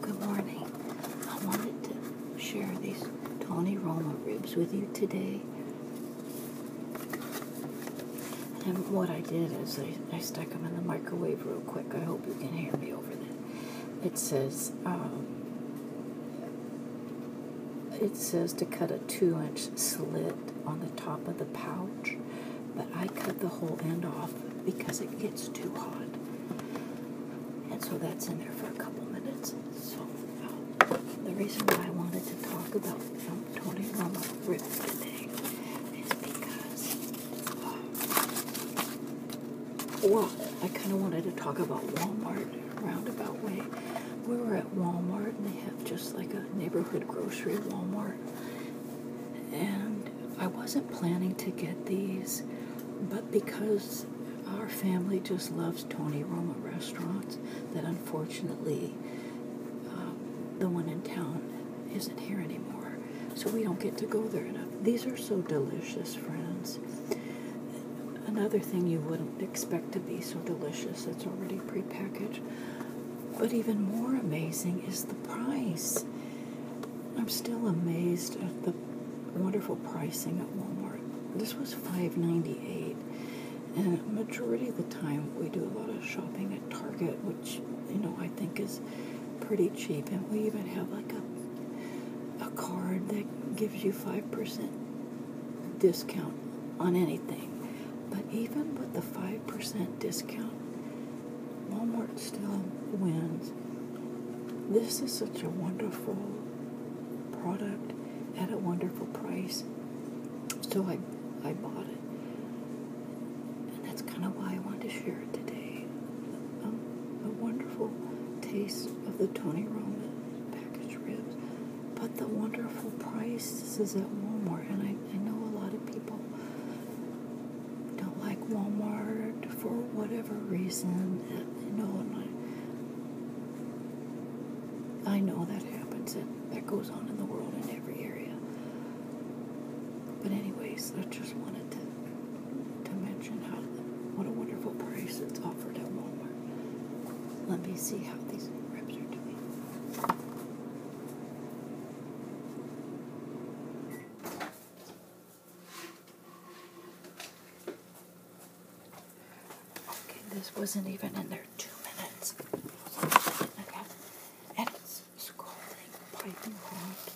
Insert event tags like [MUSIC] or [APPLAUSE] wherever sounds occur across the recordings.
Good morning. I wanted to share these Tony Roma ribs with you today. And what I did is I, I stuck them in the microwave real quick. I hope you can hear me over that. It says, um, it says to cut a two inch slit on the top of the pouch, but I cut the whole end off because it gets too hot. And so that's in there for a couple minutes. So uh, the reason why I wanted to talk about um, Tony Romo Rip today is because, uh, well, I kind of wanted to talk about Walmart roundabout way. We were at Walmart and they have just like a neighborhood grocery Walmart. And I wasn't planning to get these, but because our family just loves Tony Roma restaurants, that unfortunately um, the one in town isn't here anymore. So we don't get to go there enough. These are so delicious, friends. Another thing you wouldn't expect to be so delicious its already prepackaged but even more amazing is the price. I'm still amazed at the wonderful pricing at Walmart. This was $5.98, and majority of the time we do a lot of shopping at Target, which you know I think is pretty cheap, and we even have like a a card that gives you five percent discount on anything. But even with the 5% discount, Walmart still wins. This is such a wonderful product at a wonderful price. So I, I bought it. And that's kind of why I wanted to share it today. Um, a wonderful taste of the Tony Roma packaged ribs but the wonderful prices is at Walmart, and I, I know a lot of people don't like Walmart for whatever reason. You know, and I, I know that happens, and that goes on in the world in every area. But anyways, I just wanted to to mention how what a wonderful price it's offered at Walmart. Let me see how these ribs are doing. Okay, this wasn't even in there two minutes. Okay. And it's piping hot.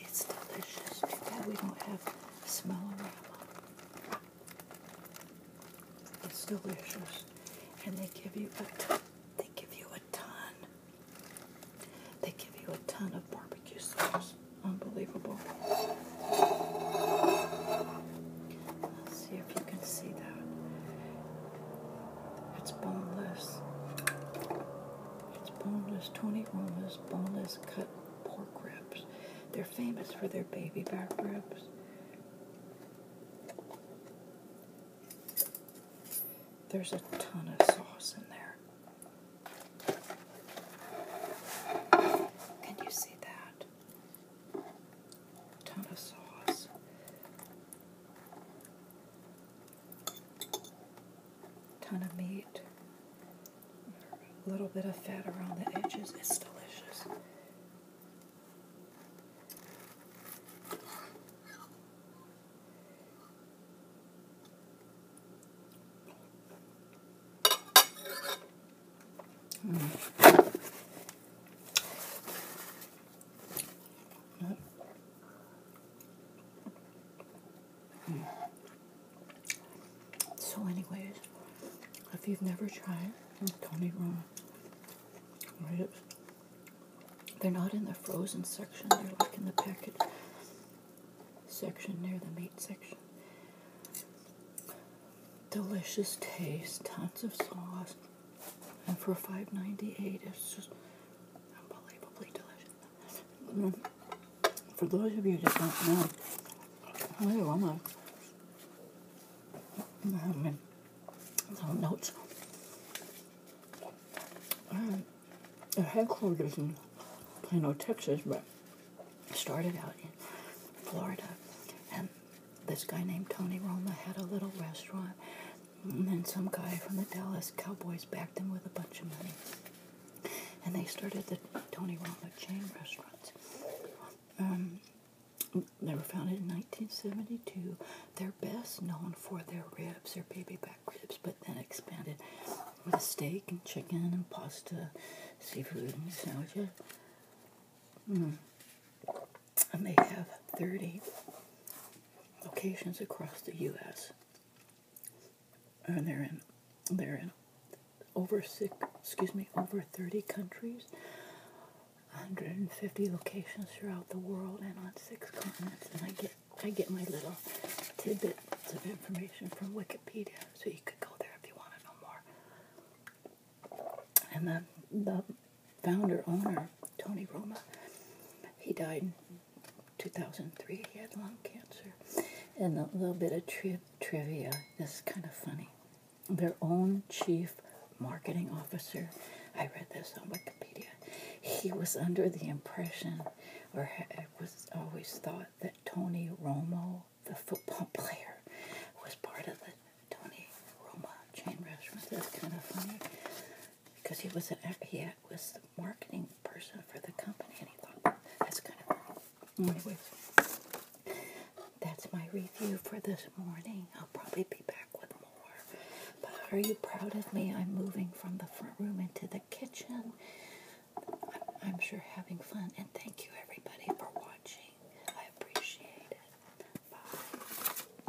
It's delicious. Too bad we don't have smell around. It's delicious, and they give you a ton, they give you a ton, they give you a ton of barbecue sauce. Unbelievable. Let's see if you can see that. It's boneless. It's boneless, 20 boneless, boneless cut pork ribs. They're famous for their baby back ribs. There's a ton of sauce in there. Can you see that? ton of sauce. Ton of meat a little bit of fat around the edges. It's delicious. Mm. So, anyways, if you've never tried Tony Room, they're not in the frozen section. They're like in the packet section near the meat section. Delicious taste, tons of sauce, and for $5.98, it's just unbelievably delicious. Mm. for those of you that don't know, I do I'm a, um, little notes. Um, the headquarters in Plano, Texas, but started out in Florida. And this guy named Tony Roma had a little restaurant. And then some guy from the Dallas Cowboys backed him with a bunch of money and they started the Tony Romo chain restaurants. Um, they were founded in 1972. They're best known for their ribs, their baby back ribs, but then expanded with steak and chicken and pasta, seafood and sandwiches. Hmm. And they have 30 locations across the U.S and uh, they're in they're in over six excuse me over 30 countries 150 locations throughout the world and on six continents and i get i get my little tidbits of information from wikipedia so you could go there if you want to know more and then the founder owner tony roma he died 2003 he had lung cancer. And a little bit of tri trivia this is kind of funny. Their own chief marketing officer, I read this on Wikipedia, he was under the impression, or was always thought, that Tony Romo, the football [LAUGHS] player, was part of the Tony Roma chain restaurant. That's kind of funny because he was an, he was the marketing person for the company, and he thought that's kind of cool. Anyways, that's my review for this morning. I'll probably be back with more. But are you proud of me? I'm moving from the front room into the kitchen. I'm sure having fun, and thank you everybody for watching. I appreciate it. Bye.